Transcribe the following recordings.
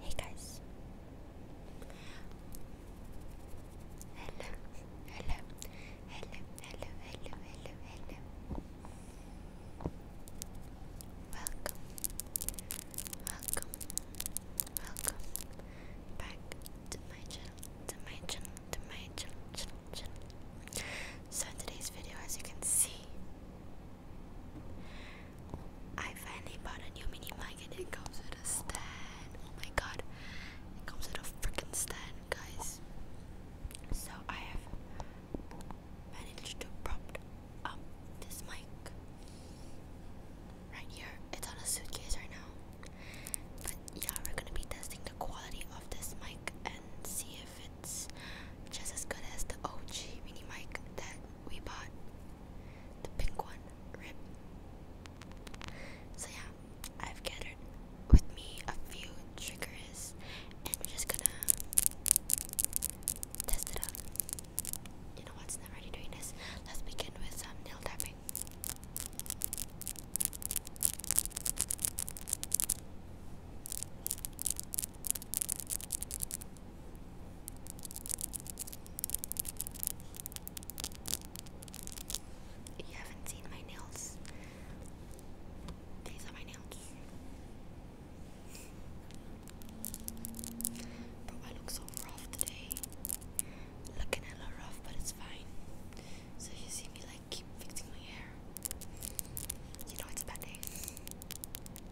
Hey guys. Hello, hello, hello, hello, hello, hello, hello. Welcome, welcome, welcome back to my channel, to my channel, to my channel, channel, channel. So in today's video, as you can see, I finally bought a new mini mic and it comes with a stand. Oh my god. It comes with a freaking stand, guys. So I have managed to prop up this mic right here. It's on a suitcase right now. But yeah, we're gonna be testing the quality of this mic and see if it's just as good as the OG mini mic that we bought the pink one, rip. So yeah, I've gathered with me a few triggers and we're just gonna test it out. You know what's not already doing this? Let's begin with some um, nail tapping. You haven't seen my nails. These are my nails. Bro, I look so rough today. Looking a little rough, but it's fine. So you see me like keep fixing my hair. You know it's a bad day.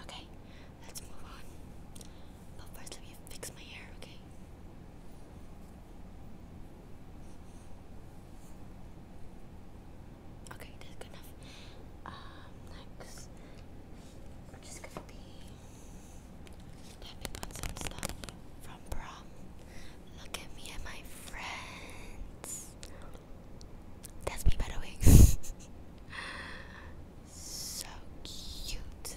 Okay, let's move on. But first, let me fix my hair, okay? Okay, that's good enough. Um, next, we're just gonna be tapping on some stuff from prom. Look at me and my friends. That's me, by the way. so cute.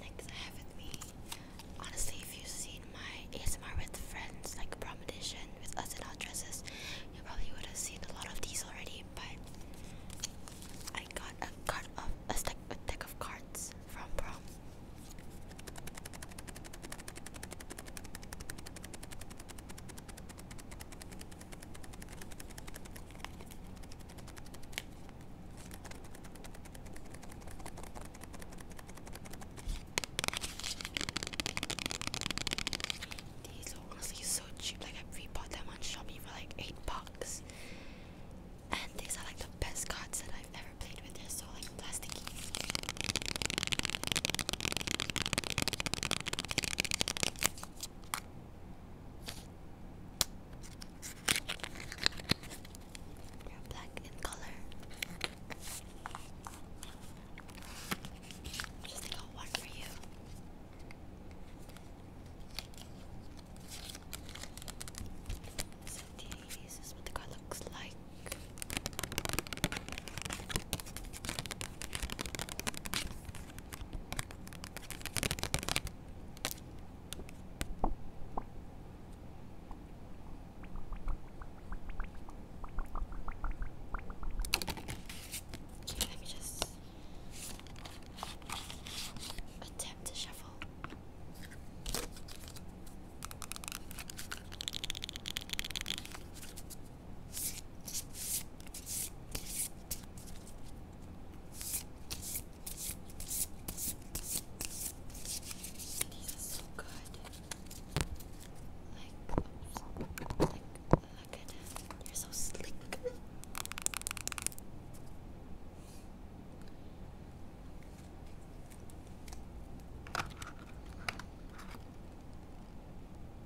things I have with me. Honestly, if you've seen my ASMR with friends, like Promotion with us in our dresses, you probably would have seen a lot of these already. But I got a card of a stack, a deck of cards from prom. These are so cheap. Like I rebought them on Shopee for like eight bucks. And these are like the best cards that I've ever played with. they so like plasticky black in color. Just think of one for you. this is what the car looks like let me just attempt to shuffle. These are so good. Like, oops. like, look at them. They're so sleek.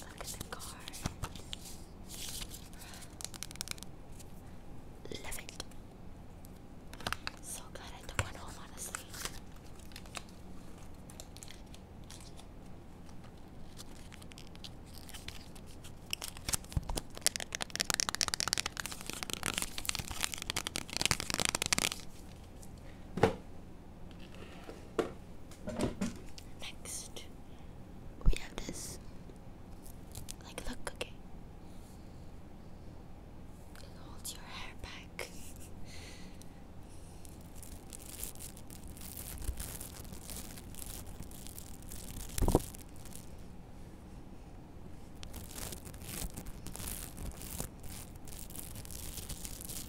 Look at the cards. Love it. So glad I took one home, honestly. Next, we have this. Like, look, okay. It your hair back.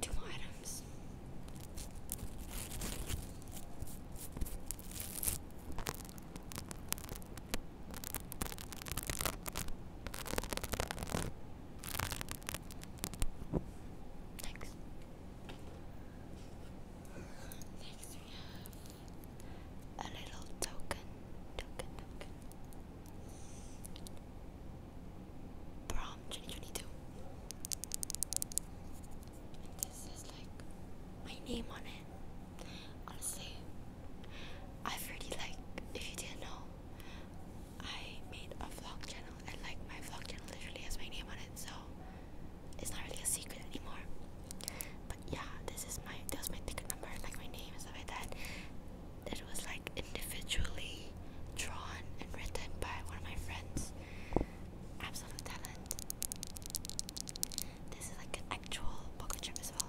two items. Next. Next we a little token, token, token. Prom 2022. And this is like my name on it. Honestly, I've really like, if you didn't know, I made a vlog channel and like my vlog channel literally has my name on so it's not really a secret anymore. But yeah, this is my that was my ticket number, like my name and stuff like that. It was like individually drawn and written by one of my friends. Absolute talent. This is like an actual pocket chip as well.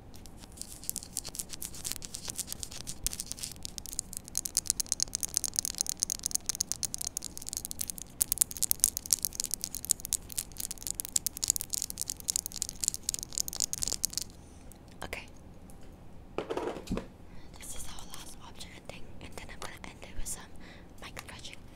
Okay. This is our last object thing, and then I'm gonna end it with some mic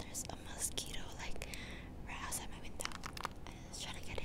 There's a mosquito like right outside my window. And it's trying to get in.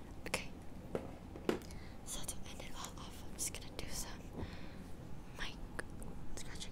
Okay. So to end it all off, I'm just gonna do some mic scratching.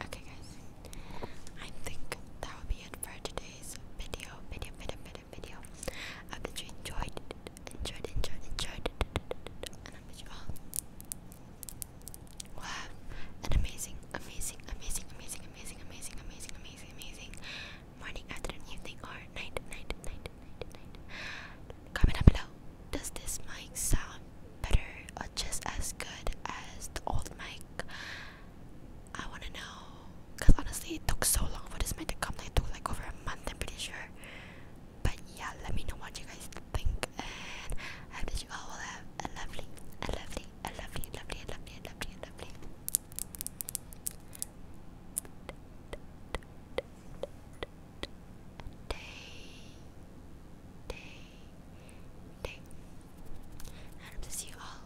Okay, guys, I think that would be it for today's video. Video, video, video, video. I hope that you enjoyed it, enjoyed, enjoyed, enjoyed and I wish you all Wow, an amazing, amazing, amazing, amazing, amazing, amazing, amazing, amazing, amazing morning, afternoon, evening, or night, night, night, night, night. Comment down below. Does this mic sound better or just as good as the old mic? I wanna know. Cause honestly, it took so long for this mic to come. Like, it took like over a month. I'm pretty sure but yeah let me know what you guys think and I hope that you all will have a lovely a lovely a lovely lovely lovely lovely lovely day day day I hope see you all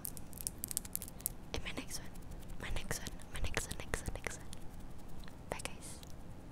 in my next one my next one my next one next one next one bye guys